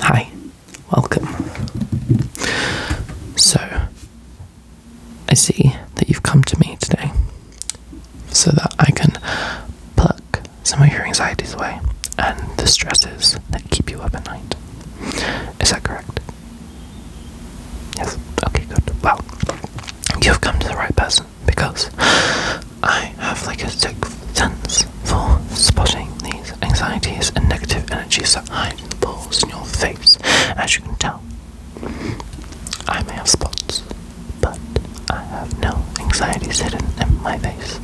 Hi, welcome. So, I see that you've come to me today so that I can pluck some of your anxieties away and the stresses that keep you up at night. Is that correct? Yes? Okay, good. Well, you've come to the right person because I have like a sixth sense for spotting these anxieties and negative energies that hide in the pores in your face, as you can tell. I may have spots, but I have no anxieties hidden in my face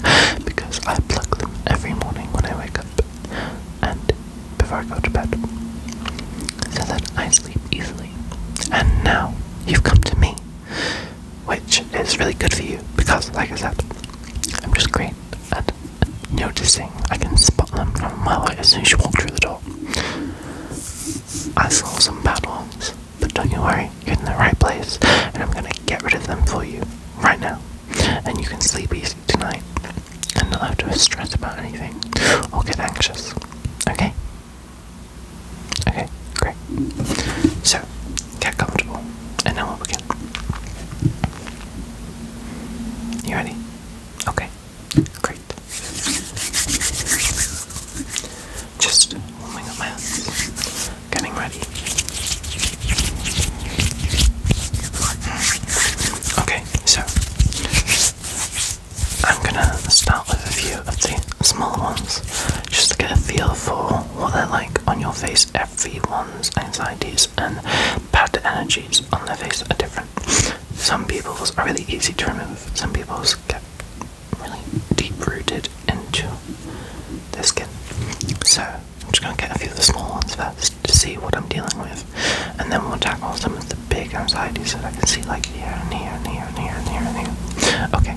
because I pluck them every morning when I wake up and before I go to bed so that I sleep easily. And now you've come to me which is really good for you because, like I said, I'm just great at noticing. I can spot them from a mile away as soon as you walk through the door. I saw some bad ones, but don't you worry, you're in the right place, and I'm gonna get rid of them for you right now, and you can sleep easy tonight, and not have to stress about anything or get anxious. Okay? Okay, great. So, get comfortable, and then we'll begin. You ready? Okay, great. Just warming up my hands, getting ready. Okay, so I'm gonna start with a few of the smaller ones just to get a feel for what they're like on your face. Everyone's anxieties and bad energies on their face are different. Some people's are really easy to remove, some people's get really deep rooted into their skin. So, I'm just going to get a few of the small ones first to see what I'm dealing with, and then we'll tackle some of the big anxieties that I can see, like here and here and here and here and here and here. Okay,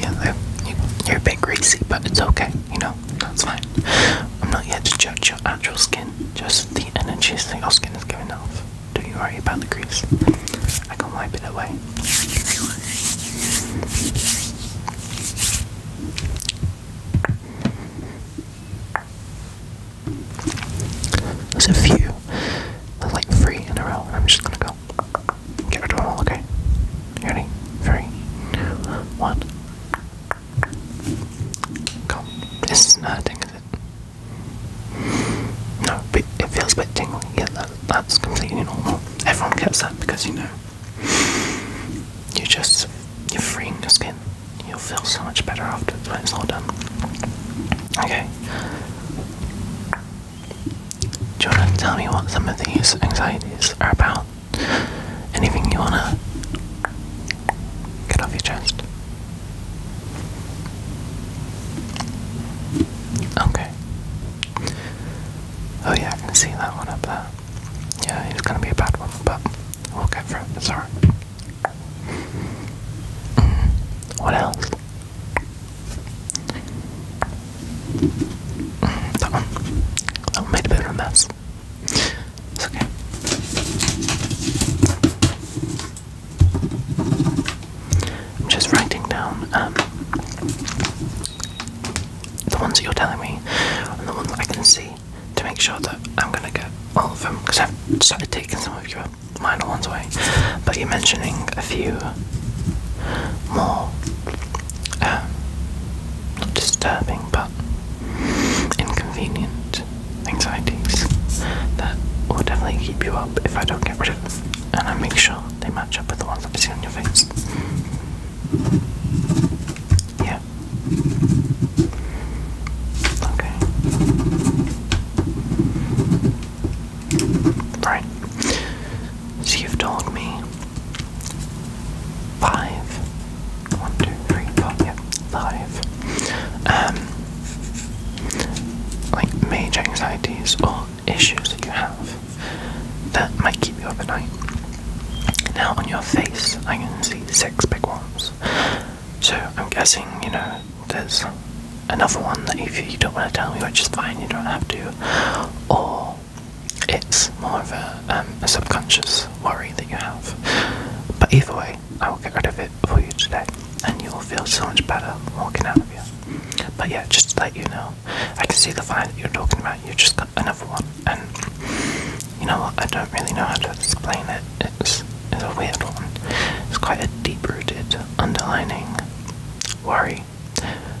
Yeah, you're a bit greasy, but it's okay, you know, that's fine. I'm not here to judge your actual skin, just the energy that your skin is giving off. Don't you worry about the grease. I can wipe it away. There's a few like three in a row. I'm just gonna go. Get rid of all, okay? You ready? Three, two, one. Go. This isn't hurting, is No, but it feels a bit tingly. Yeah, that, that's completely normal. Everyone gets that because you know. You just, you're freeing your skin. You'll feel so much better after when it's all done. Okay, do you wanna tell me what some of these anxieties are about. Anything you wanna get off your chest? Okay. Oh yeah, I can see that one up there. Yeah, it's gonna be a bad one, but we'll get through it. It's alright what else? Mm, that made a bit of a mess. It's okay. I'm just writing down um, the ones that you're telling me and the ones that I can see to make sure that I'm gonna get all of them because I've started taking some of your minor ones away, but you're mentioning a few more uh, disturbing but inconvenient anxieties that will definitely keep you up if I don't get rid of them. And I make sure they match up with the ones that I see on your face. Yeah. Okay. Right. So you've told me five. One, yeah, five. Um, like major anxieties or issues that you have that might keep you up at night. Now on your face, I can see six big ones. So I'm guessing, you know, there's another one that if you don't want to tell me, which is fine, you don't have to, or it's more of um, a, subconscious worry that you have. But either way, I will get rid of it for you today, and you will feel so much better walking out of here. But yeah, just to let you know, I can see the fire that you're talking about. You just got another one, and you know what? I don't really know how to explain it. It's is a weird one. It's quite a deep-rooted underlining worry.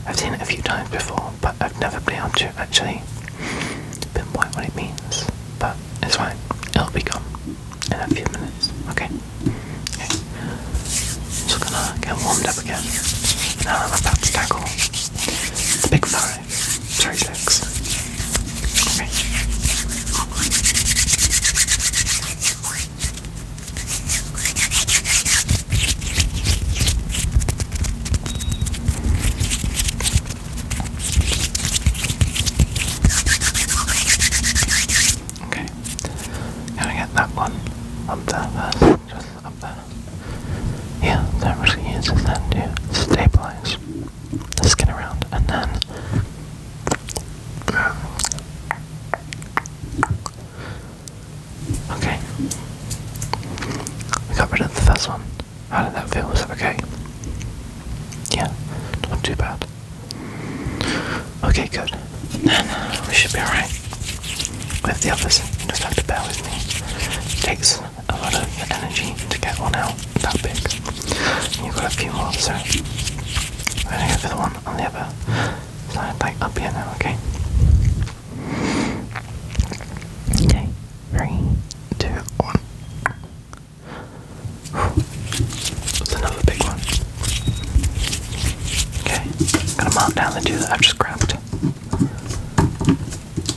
I've seen it a few times before, but I've never been able to actually pinpoint what it means. But it's fine. It'll become in a few minutes. Okay. Okay. Just gonna get warmed up again. Now I'm about to tackle the big five. Sorry, six. Okay, can I get that one up there first? Just up there. Yeah, that really uses that to stabilize. Let's get around, and then okay. We got rid of the first one. How did that feel? Was that okay? Yeah, not too bad. Okay, good. Then we should be alright with the others. You just have to bear with me. Thanks a lot of energy to get one out that big. you've got a few more, so I'm gonna go for the one on the other side, up here now, okay? Okay, three, two, one. That's another big one. Okay, I'm gonna mount down the two that I've just grabbed.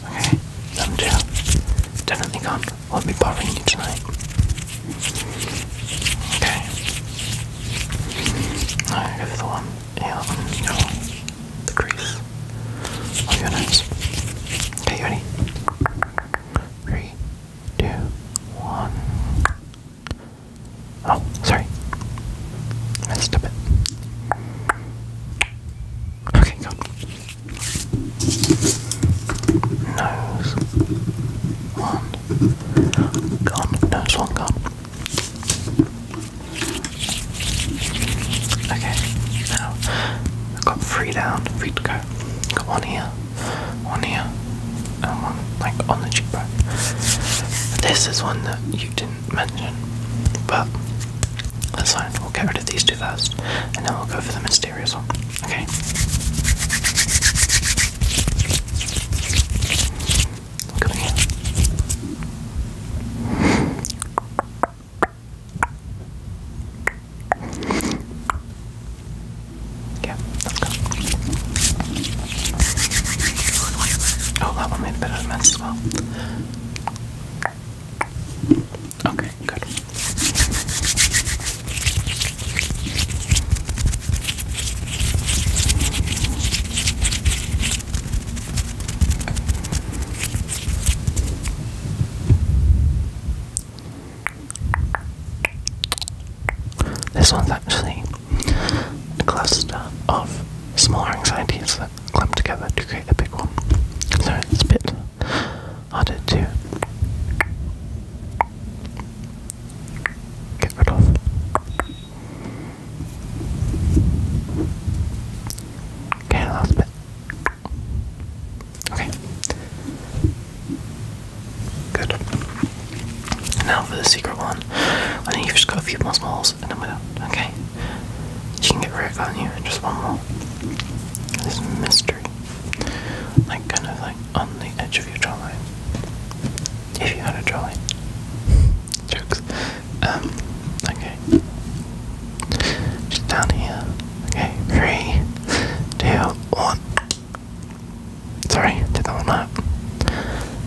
Okay, I'm chill. Definitely calm. Won't be bothering you tonight. Okay. Alright, go the one. Yeah, on the crease. On your nose. Okay, you ready? Three, two, one. Oh, sorry. Messed up it. Okay, go. Nose. One. Gone. Nose one gone. Okay. Now I've got three down, three to go. Got one here, one here, and one like on the cheekbone. This is one that you didn't mention, but that's fine. We'll get rid of these two first, and then we'll go for the mysterious one. Okay. Yeah, let Oh, that one made a mess as well. Okay, good. This one's actually a cluster of smaller anxieties clumped together to create a big one. So it's a bit harder to get rid of. Okay, last bit. Okay. Good. Now for the secret one. I think you've just got a few more smalls and then we're done. Okay. She can get right on you just one more. This mystery. Like kind of like on the edge of your jawline. If you had a jawline. Jokes. Um, okay. Just down here. Okay, three, two, one. Sorry, did that one up.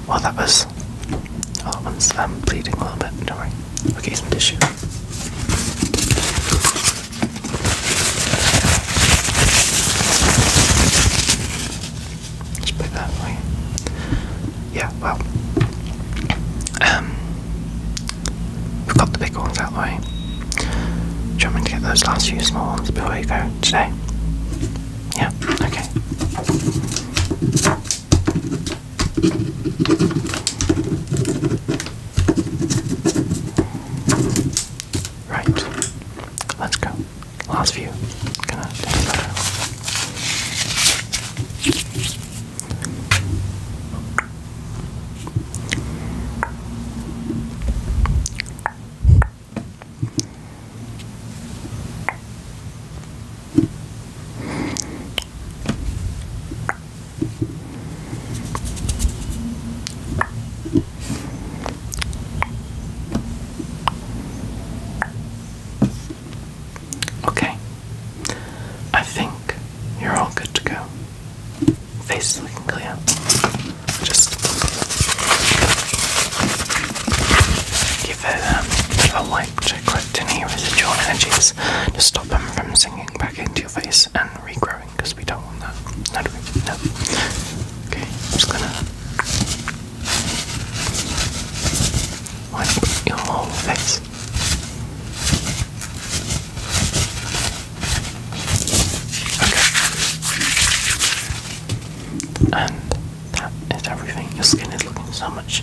Well, that was Oh, that one's bleeding a little bit, don't worry. Okay, some tissue. Just put that away. Yeah, well. Um, we've got the big ones out the way. Do you want me to get those last few small ones before you go today? Yeah, okay. Right. Let's go. Last view. going Okay, I think you're all good to go. Face looking clear. Just give it um, a light check Actinic residual energies to stop them from sinking back into your face and regrowing because we don't want that. No, No. Okay, I'm just gonna wipe your whole face. Okay. And that is everything. Your skin is looking so much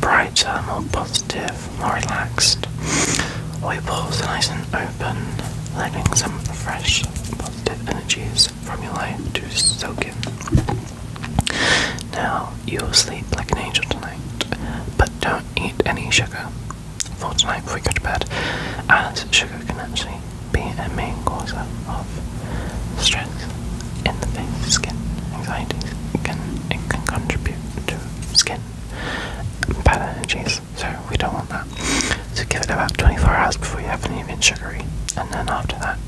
brighter, more positive, more relaxed. All your pores are nice and open, letting some fresh, positive energies from your life to soak in. Now, you'll sleep like an angel tonight, but don't eat any sugar for tonight before you go to bed, as sugar can actually be a main cause of Stress in the face, skin, anxiety can it can contribute to skin bad so we don't want that. So give it about 24 hours before you have any sugary, and then after that,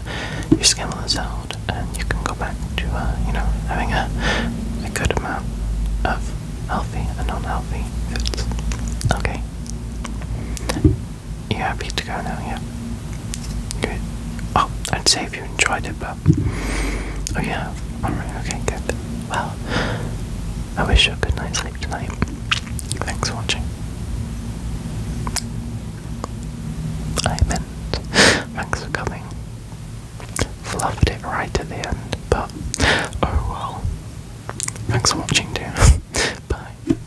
your skin will dissolve, and you can go back to uh, you know having a a good amount of healthy and unhealthy foods. Okay. You happy to go now? Yeah. Good. Oh, I'd say if you enjoyed it, but oh yeah. All right. Okay. Good. Well, I wish you a good night's sleep tonight. Thanks for watching. I meant thanks for coming. Fluffed it right at the end, but oh well. Thanks for watching, too. Bye.